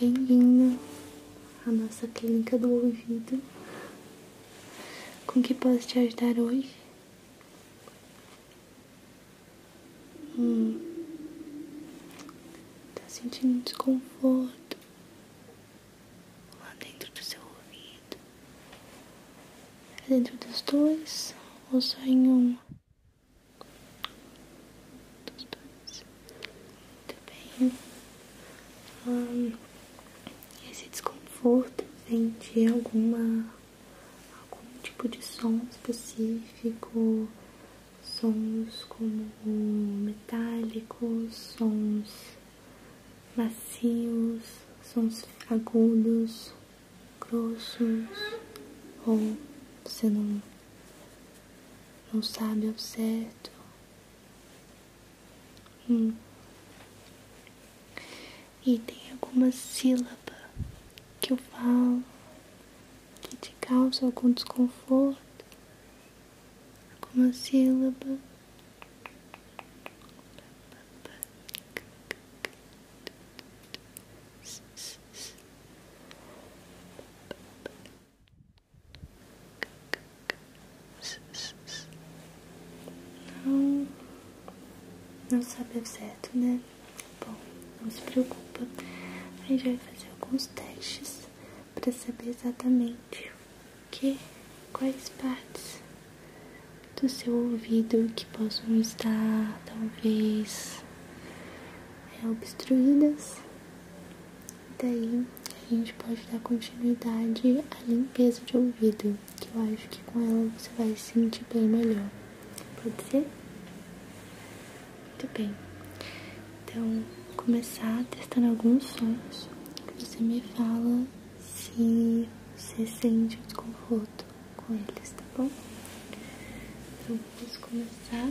Bem-vindo à nossa clínica do ouvido. Com que posso te ajudar hoje? Hum. Tá sentindo desconforto lá dentro do seu ouvido? dentro dos dois ou só um? dos Muito bem. Hum, esse desconforto vem de é alguma algum tipo de som específico, sons como metálicos, sons macios, sons agudos, grossos ou se não não sabe o certo. Hum. E tem alguma sílaba que eu falo que te causa algum desconforto, alguma sílaba. Não, não sabe ao certo, né? Bom, não se preocupa. A gente vai fazer alguns testes para saber exatamente que, quais partes do seu ouvido que possam estar, talvez, obstruídas. Daí a gente pode dar continuidade à limpeza de ouvido, que eu acho que com ela você vai se sentir bem melhor. Pode ser? Muito bem. Então, vou começar testando alguns sons. Você me fala se você sente desconforto com eles, tá bom? Então, vamos começar.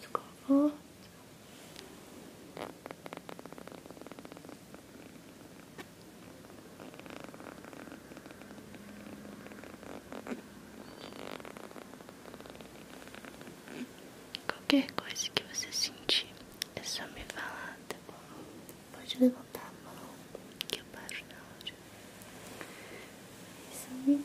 Escovou. Qualquer coisa que você sentir, é só me falar, tá bom? Pode levantar a mão, que eu paro na hora. Isso é aí.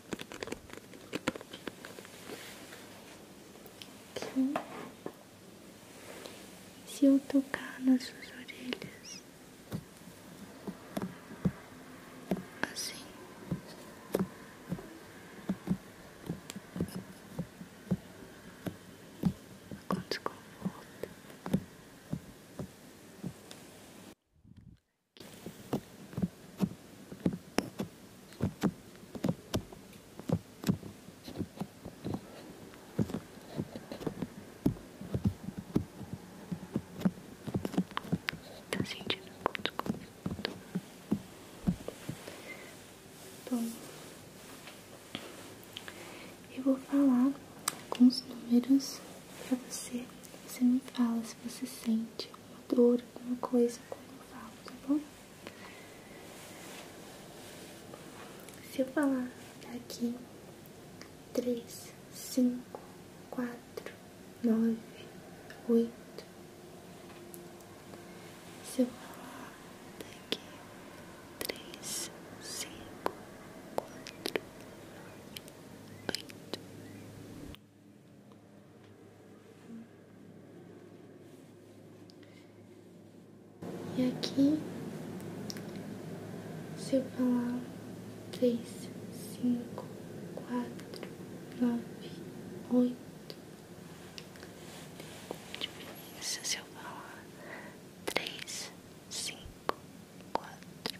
Aqui. Se eu tocar nas suas orelhas, assim, com desconforto. Tá sentindo um Bom, eu vou falar alguns números pra você você me fala se você sente uma dor, alguma coisa quando eu falo, tá bom? Se eu falar daqui 3, 5, 4, 9, 8. Se eu falar daqui 3, 5, 4, 8. E aqui, se eu falar três, cinco, quatro, nove, oito, se eu falar três, cinco, quatro,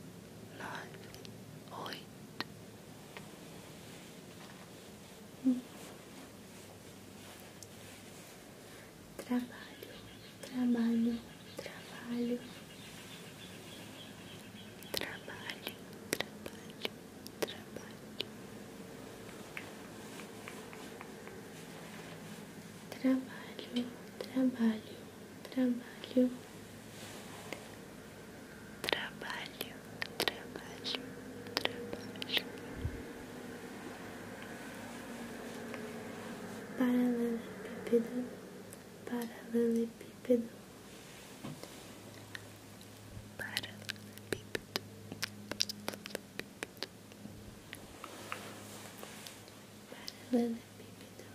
nove, oito. Trabalho, trabalho, trabalho. Trabalho, trabalho, trabalho. Trabalho, trabalho trabalho, trabalho, trabalho, trabalho. Paralelepípedo, paralelepípedo, paralelepípedo. Paralelepípedo.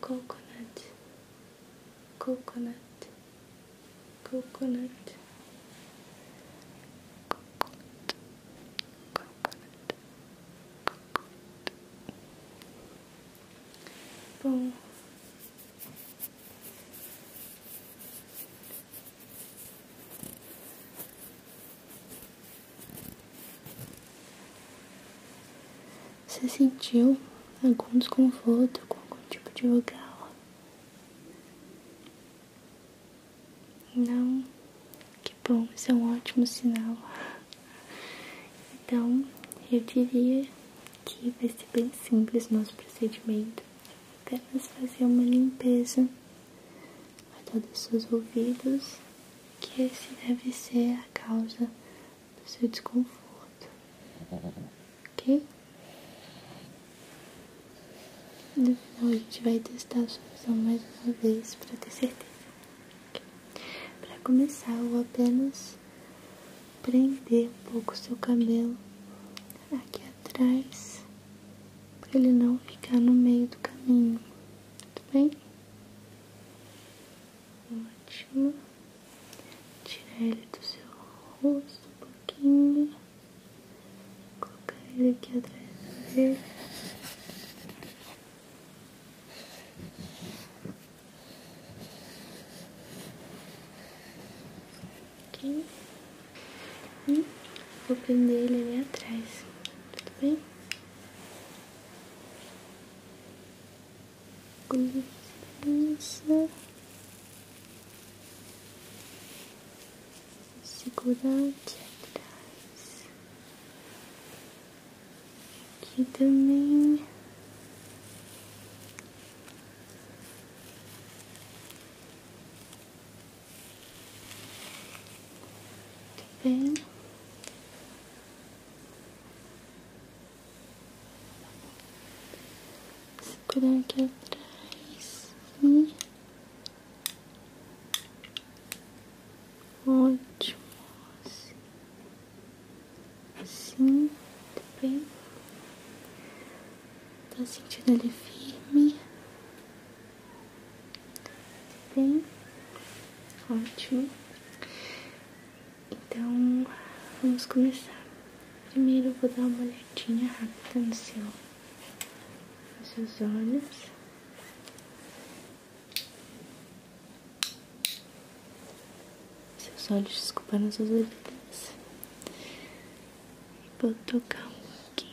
coconut coconut coconut coconut bom Você sentiu algum desconforto com algum tipo de vogal? Não? Que bom, isso é um ótimo sinal. Então, eu diria que vai ser bem simples o nosso procedimento. Apenas fazer uma limpeza a todos os seus ouvidos que esse deve ser a causa do seu desconforto, ok? No final a gente vai testar a solução mais uma vez para ter certeza. Okay? Para começar, eu vou apenas prender um pouco o seu cabelo aqui atrás para ele não ficar no meio do caminho, tudo bem? Ótimo. Tirar ele do seu rosto um pouquinho. Colocar ele aqui atrás da E hum. vou prender ele ali atrás. Tudo bem? com licença, segurar aqui atrás, aqui também. Muito tá bem. Segurar aqui atrás. E... Ótimo. Assim, assim tá bem? Tá sentindo ele firme? Tá bem? Ótimo. Então, vamos começar. Primeiro eu vou dar uma olhadinha rápida no seu, nos seus olhos. Seus olhos, desculpa, nas suas orelhas. Vou tocar um pouquinho.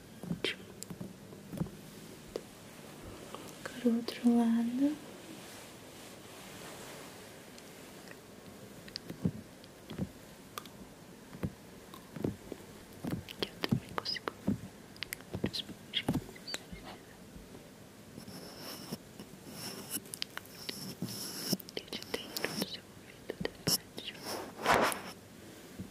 Ótimo. o outro lado. Que eu também consigo. Eu te tenho no seu ouvido da tá? parte.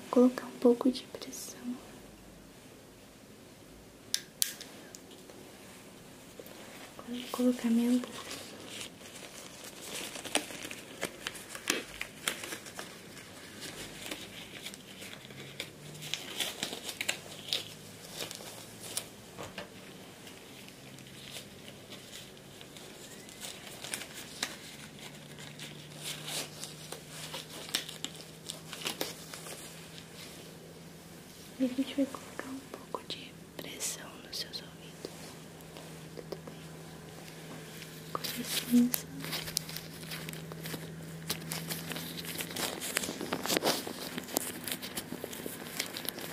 Vou colocar um pouco de pressão. Agora vou colocar minha luva. E a gente vai colocar um pouco de pressão nos seus ouvidos. Tudo bem?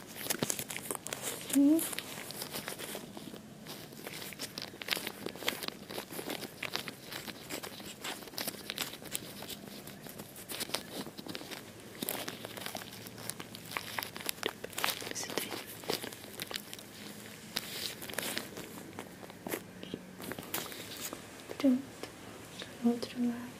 Aqui. Pronto, outro lado.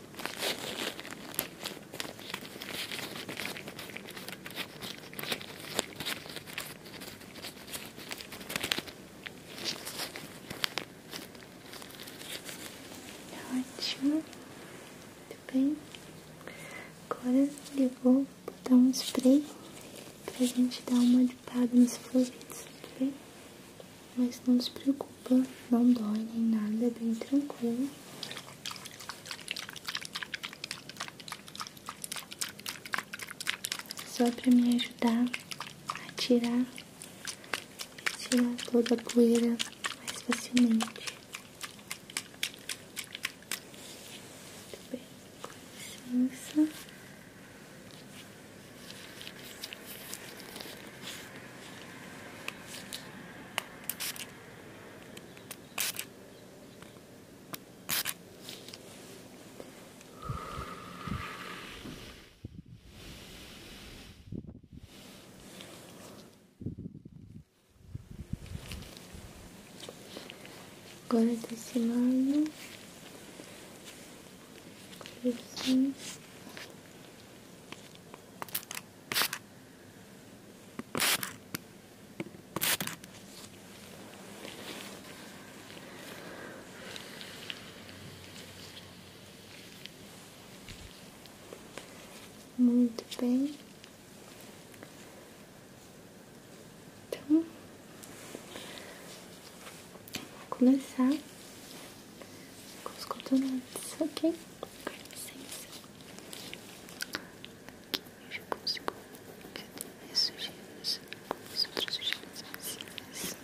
Ótimo, muito bem. Agora eu vou botar um spray para a gente dar uma limpada nos floridos, tá bem? Mas não se preocupa, não dói nem nada, é bem tranquilo. Só para me ajudar a tirar, toda a poeira mais facilmente. Muito bem, com licença agora desse tá lado assim muito bem. Então, Vou começar com os cotonetes, ok? Com licença. Aqui eu já consigo ver as sujeiras, as outras sujeiras vizinhas. Aqui.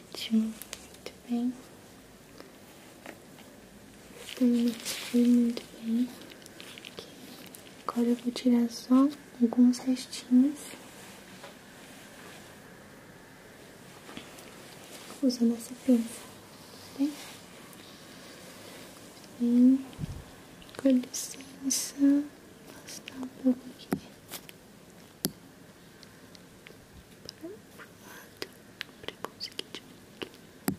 Ótimo, muito bem. muito bem. Agora eu vou tirar só alguns restinhos usando essa pinça, tá com licença, afastar um pouco aqui. Para o lado, para conseguir de novo.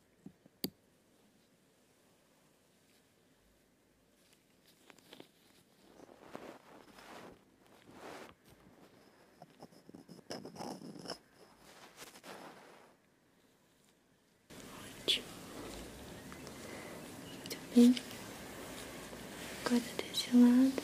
Ótimo. Muito bem. Agora desse lado.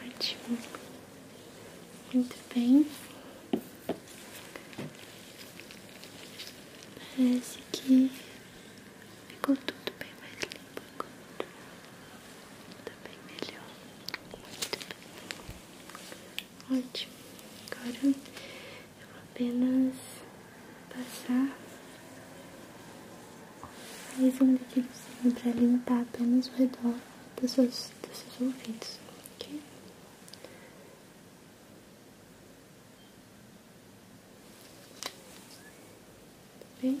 Ótimo. Muito bem. Parece que ficou tudo bem mais limpo agora. Tá bem melhor. Muito bem. Ótimo, agora eu vou apenas passar mais um líquidozinho para limpar apenas o redor dos seus, dos seus ouvidos, ok? Tá bem?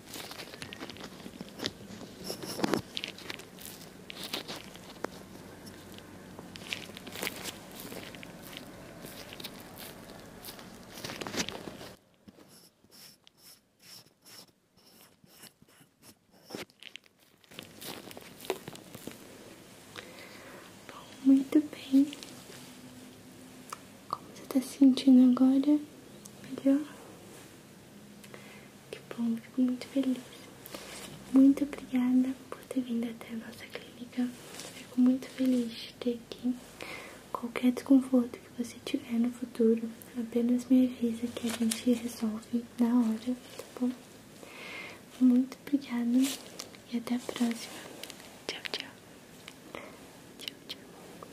Bom, muito bem. Como você está se sentindo agora? Melhor? Que bom, fico muito feliz. Muito obrigada por ter vindo até a nossa clínica. Fico muito feliz de ter aqui. Qualquer desconforto que você tiver no futuro, apenas me avisa que a gente resolve na hora, tá bom? Muito obrigada e até a próxima. Tchau, tchau. Tchau, tchau.